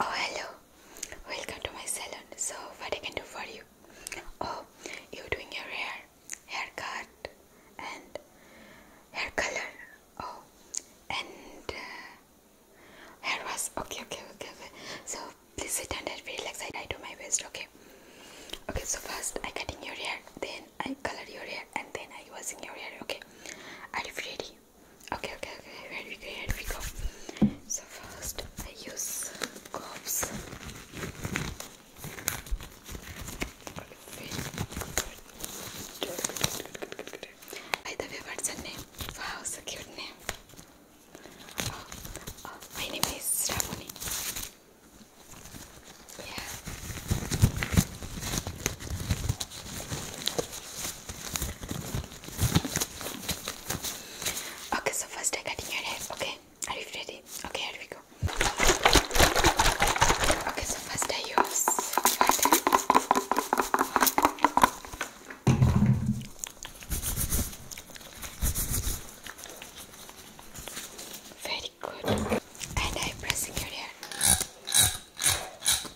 Oh hello, welcome to my salon. So what I can do for you? Oh, you're doing your hair, haircut, and hair color. Oh, and uh, hair was okay, okay, okay, okay. So please sit and relax. I do my best. Okay. Okay. So first I cutting your hair, then I color your hair, and then I washing your hair. Okay. Are you ready? Okay, okay, okay. Here we go. Here we go. So first, I use gloves. By the way, what's her name? Wow, so cute name. Oh, oh, my name is Stephanie. Yeah. Okay, so first I'm cutting your hair. Okay, are you ready? Okay, here we go. Okay, so first I use Very good. And I'm your hair.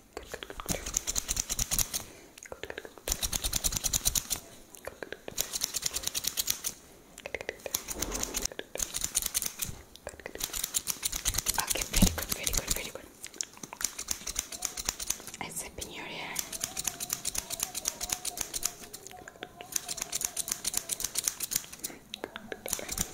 Good, good, good. Good, good, good. Good, good, good. Okay, very good, very good, very good. I zip in your hair. Good, good, good.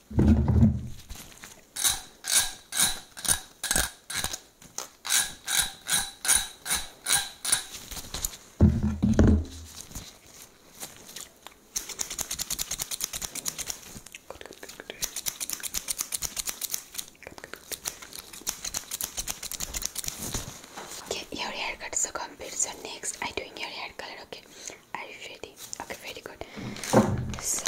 Okay, your haircut so complete. So next, I doing your hair color. Okay, are you ready? Okay, very good. So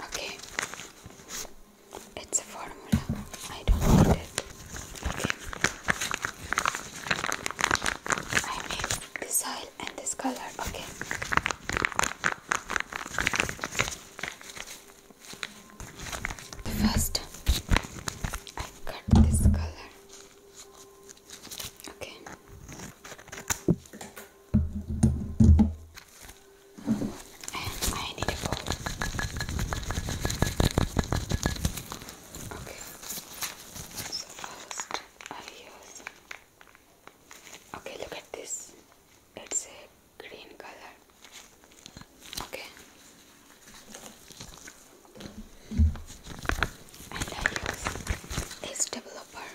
Okay. It's a formula. I don't need it. Okay. I need this oil and this color. Okay. First, I cut this color. Okay. And I need a bowl. Okay. So first I use. Okay, look at this. It's a green color. Okay and I use this developer.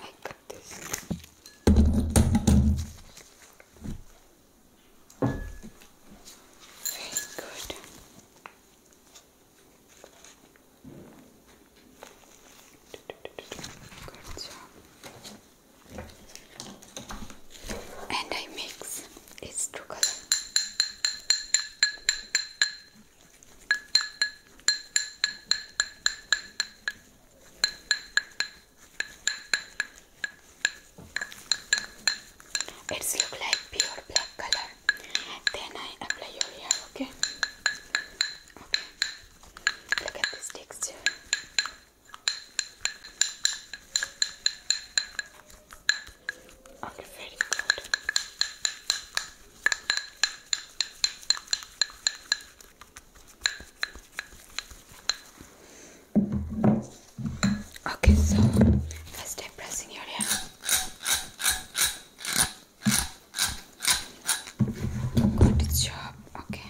I got this. Very good. Good job. And I mix it's true color. It's look like pure black color. Then I apply your hair, okay? Okay. Look at this texture. Okay, so first pressing your hair. Good job. Okay.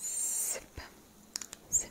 Zip, zip.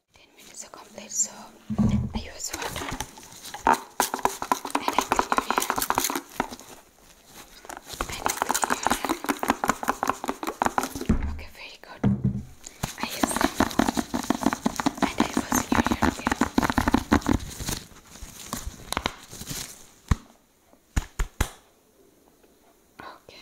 10 minutes are complete, so I use water I clean your hair. I clean your hair. Okay, very good. I use shampoo I wash your hair Okay.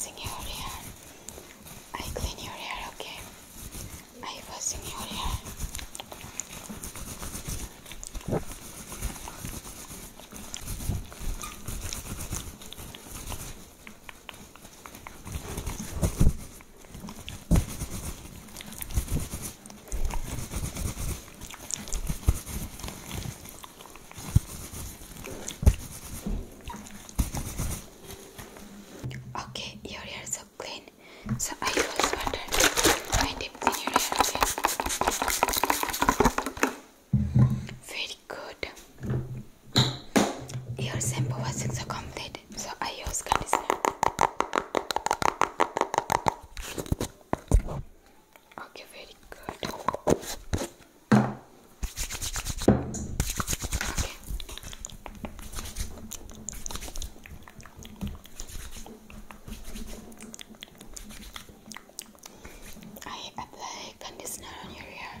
Sing I clean your hair, okay? I was in your hair. Okay, your hair is so clean. So I always wonder I didn't see your hair Very good. Your sample was so complete. So I use conditioner. Okay, very good. I apply conditioner on your hair.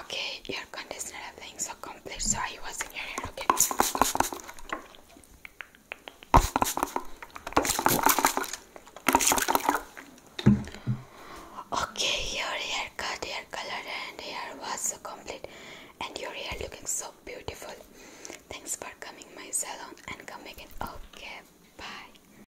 Okay, your conditioner things are complete, so I was in your hair, okay? Okay, your haircut, hair color, and hair was so complete, and your hair looking so beautiful. Thanks for coming my salon and coming again. Okay, bye.